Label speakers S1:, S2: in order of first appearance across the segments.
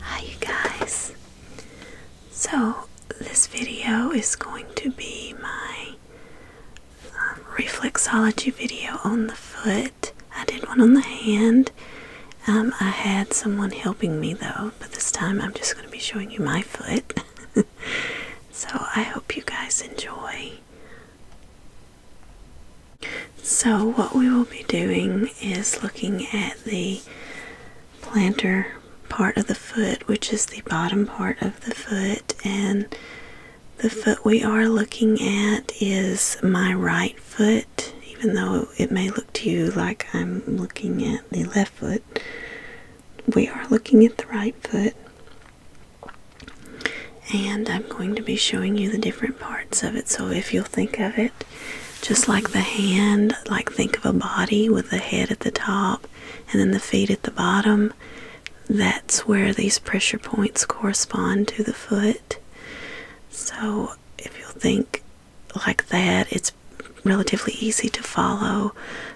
S1: Hi you guys. So this video is going to be my um, reflexology video on the foot. I did one on the hand. Um, I had someone helping me though, but this time I'm just going to be showing you my foot. so I hope you guys enjoy. So, what we will be doing is looking at the plantar part of the foot, which is the bottom part of the foot, and the foot we are looking at is my right foot, even though it may look to you like I'm looking at the left foot. We are looking at the right foot, and I'm going to be showing you the different parts of it. So, if you'll think of it just like the hand, like think of a body with the head at the top and then the feet at the bottom. That's where these pressure points correspond to the foot. So if you think like that, it's relatively easy to follow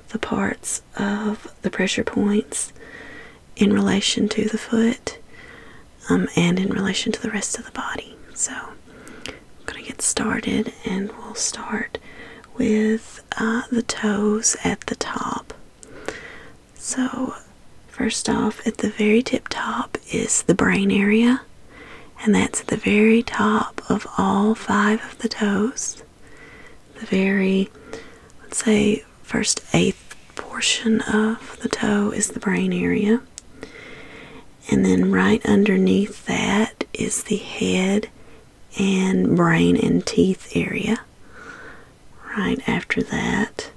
S1: the parts of the pressure points in relation to the foot. Um, and in relation to the rest of the body. So I'm going to get started and we'll start with uh, the toes at the top. So, first off, at the very tip top is the brain area, and that's the very top of all five of the toes. The very, let's say, first eighth portion of the toe is the brain area and then right underneath that is the head and brain and teeth area. Right after that,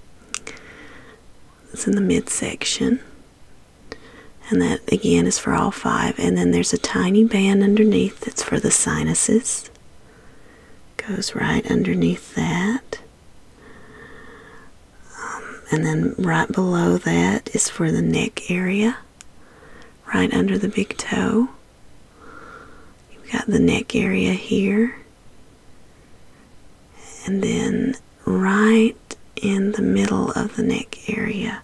S1: it's in the midsection, and that again is for all five. And then there's a tiny band underneath that's for the sinuses, goes right underneath that. Um, and then right below that is for the neck area, right under the big toe. You've got the neck area here. And then right in the middle of the neck area,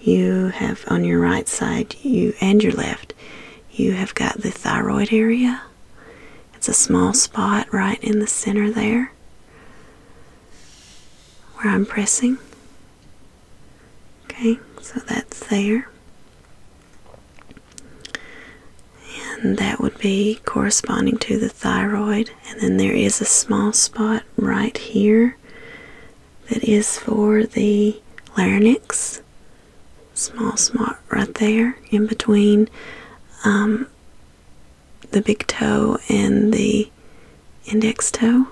S1: you have on your right side you and your left, you have got the thyroid area. It's a small spot right in the center there where I'm pressing. Okay, so that's there. And that would be corresponding to the thyroid. And then there is a small spot right here that is for the larynx. Small spot right there in between um, the big toe and the index toe.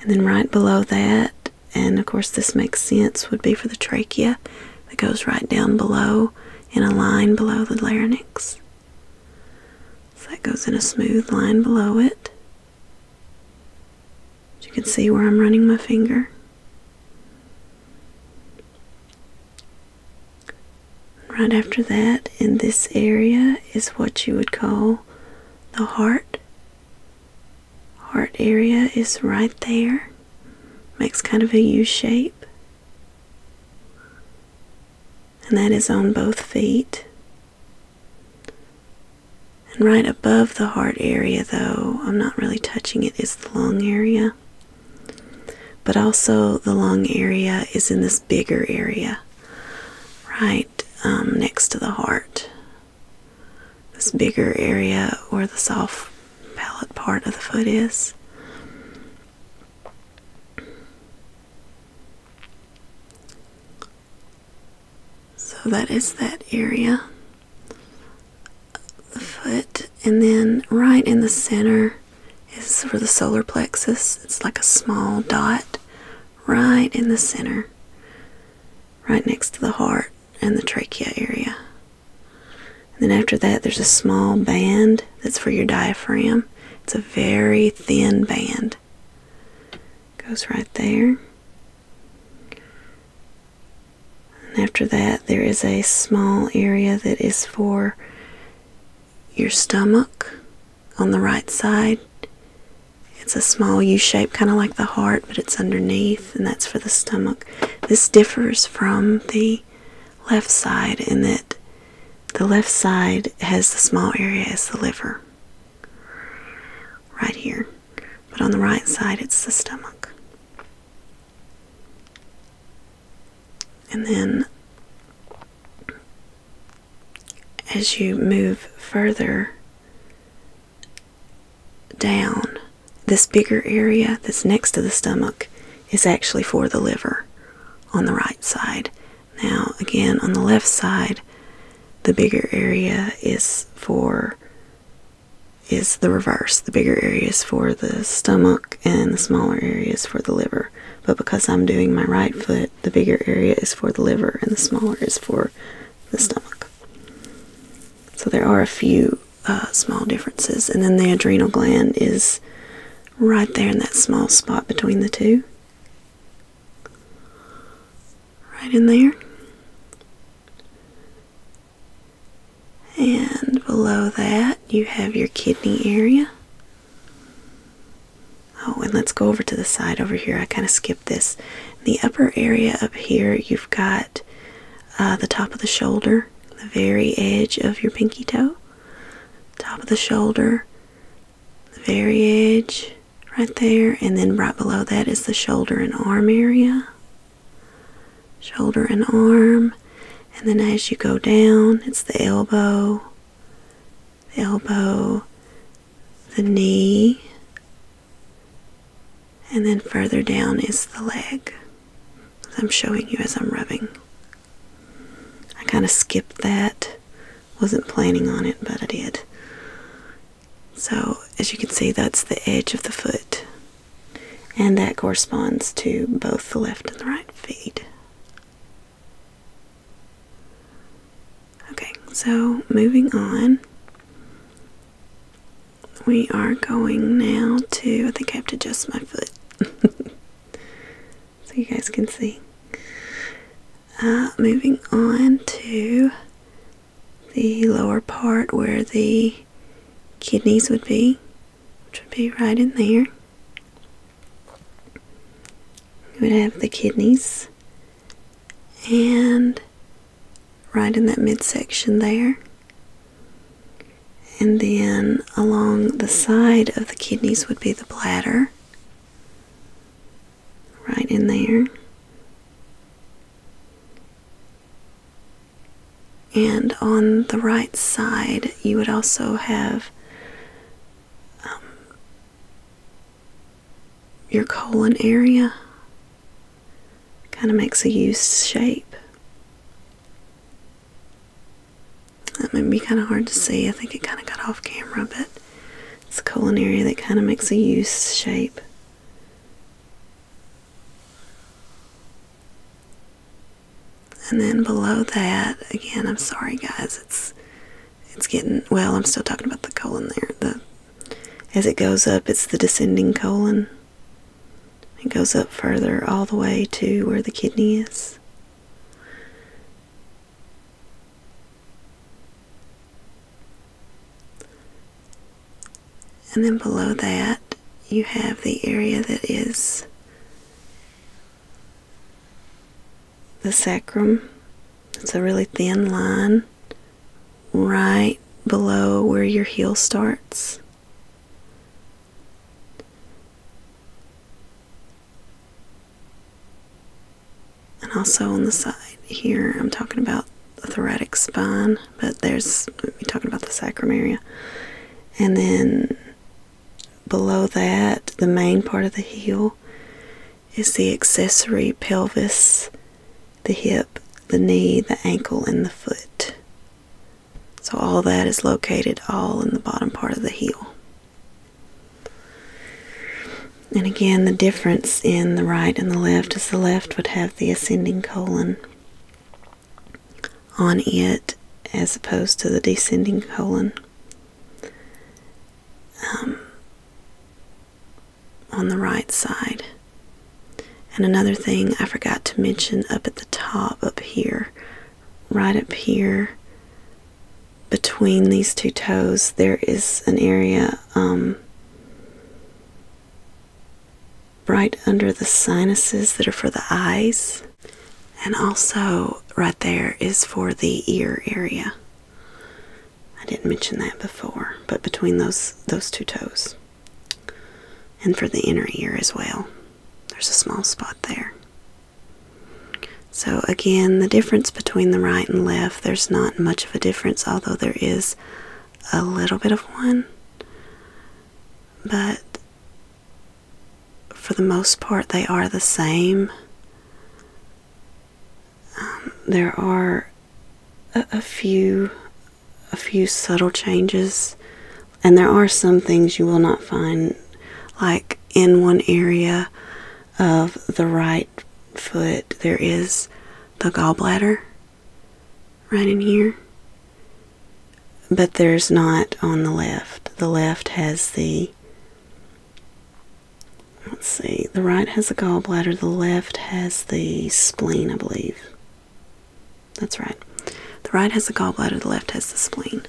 S1: And then right below that, and of course this makes sense, would be for the trachea that goes right down below in a line below the larynx. So that goes in a smooth line below it. you can see where I'm running my finger. Right after that, in this area, is what you would call the heart. Heart area is right there, makes kind of a U shape, and that is on both feet. And right above the heart area, though, I'm not really touching it, is the lung area. But also, the long area is in this bigger area, right um, next to the heart. This bigger area where the soft palate part of the foot is. So that is that area, of the foot, and then right in the center is for the solar plexus. It's like a small dot right in the center, right next to the heart and the trachea area. And then after that, there's a small band that's for your diaphragm. It's a very thin band. Goes right there. And after that, there is a small area that is for your stomach on the right side. It's a small U shape, kind of like the heart, but it's underneath, and that's for the stomach. This differs from the left side in that the left side has the small area as the liver right here, but on the right side it's the stomach. And then as you move further down, this bigger area that's next to the stomach is actually for the liver on the right side. Now, again, on the left side, the bigger area is for is the reverse. The bigger area is for the stomach and the smaller area is for the liver but because I'm doing my right foot, the bigger area is for the liver and the smaller is for the stomach. So there are a few uh, small differences, and then the adrenal gland is right there in that small spot between the two. Right in there. And below that, you have your kidney area. Oh, and let's go over to the side over here. I kind of skipped this. The upper area up here, you've got uh, the top of the shoulder, the very edge of your pinky toe, top of the shoulder, the very edge right there, and then right below that is the shoulder and arm area. Shoulder and arm, and then as you go down, it's the elbow, the elbow, the knee, and then further down is the leg. I'm showing you as I'm rubbing. I kind of skipped that. Wasn't planning on it, but I did. So, as you can see, that's the edge of the foot. And that corresponds to both the left and the right feet. Okay, so moving on. We are going now to. I think I have to adjust my foot so you guys can see. Uh, moving on to the lower part where the kidneys would be, which would be right in there. You would have the kidneys and right in that midsection there. And then along the side of the kidneys would be the bladder, right in there. And on the right side, you would also have um, your colon area kind of makes a U shape. That might be kind of hard to see. I think it kind of got off camera, but it's a colon area that kind of makes a U shape. And then below that, again, I'm sorry guys, it's it's getting well, I'm still talking about the colon there. as it goes up, it's the descending colon. It goes up further all the way to where the kidney is. And then below that, you have the area that is the sacrum. It's a really thin line right below where your heel starts. And also on the side here, I'm talking about the thoracic spine, but there's, we're talking about the sacrum area. And then below that, the main part of the heel, is the accessory pelvis, the hip, the knee, the ankle, and the foot. So, all that is located all in the bottom part of the heel. And again, the difference in the right and the left is the left would have the ascending colon, on it as opposed to the descending colon. Um, on the right side. And another thing I forgot to mention up at the top, up here, right up here, between these two toes, there is an area um, right under the sinuses that are for the eyes. And also, right there is for the ear area. I didn't mention that before, but between those those two toes. And for the inner ear as well. There's a small spot there. So again, the difference between the right and left, there's not much of a difference, although there is a little bit of one. But for the most part, they are the same. Um, there are a few, a few subtle changes, and there are some things you will not find, like in one area of the right foot, there is the gallbladder right in here but there's not on the left. The left has the let's see, the right has the gallbladder, the left has the spleen, I believe. That's right. The right has the gallbladder, the left has the spleen.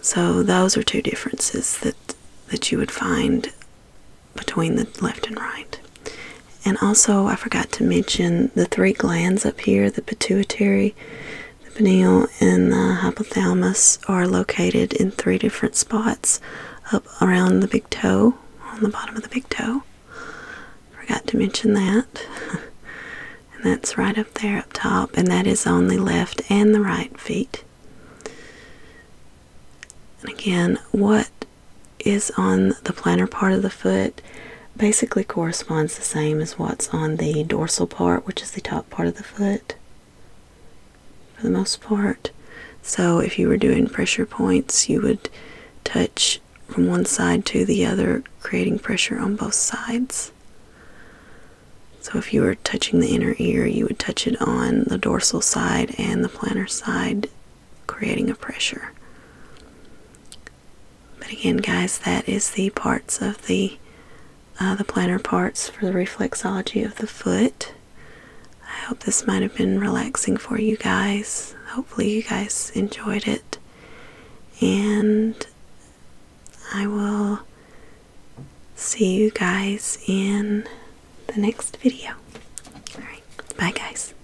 S1: So those are two differences that that you would find between the left and right. And also I forgot to mention the three glands up here, the pituitary, the pineal and the hypothalamus are located in three different spots up around the big toe, on the bottom of the big toe. Forgot to mention that. and that's right up there up top, and that is on the left and the right feet. And again, what is on the planar part of the foot basically corresponds the same as what's on the dorsal part, which is the top part of the foot for the most part. So, if you were doing pressure points, you would touch from one side to the other, creating pressure on both sides. So, if you were touching the inner ear, you would touch it on the dorsal side and the plantar side, creating a pressure. But again, guys, that is the parts of the uh, the plantar parts for the reflexology of the foot. I hope this might have been relaxing for you guys. Hopefully, you guys enjoyed it, and I will see you guys in the next video. bye, guys.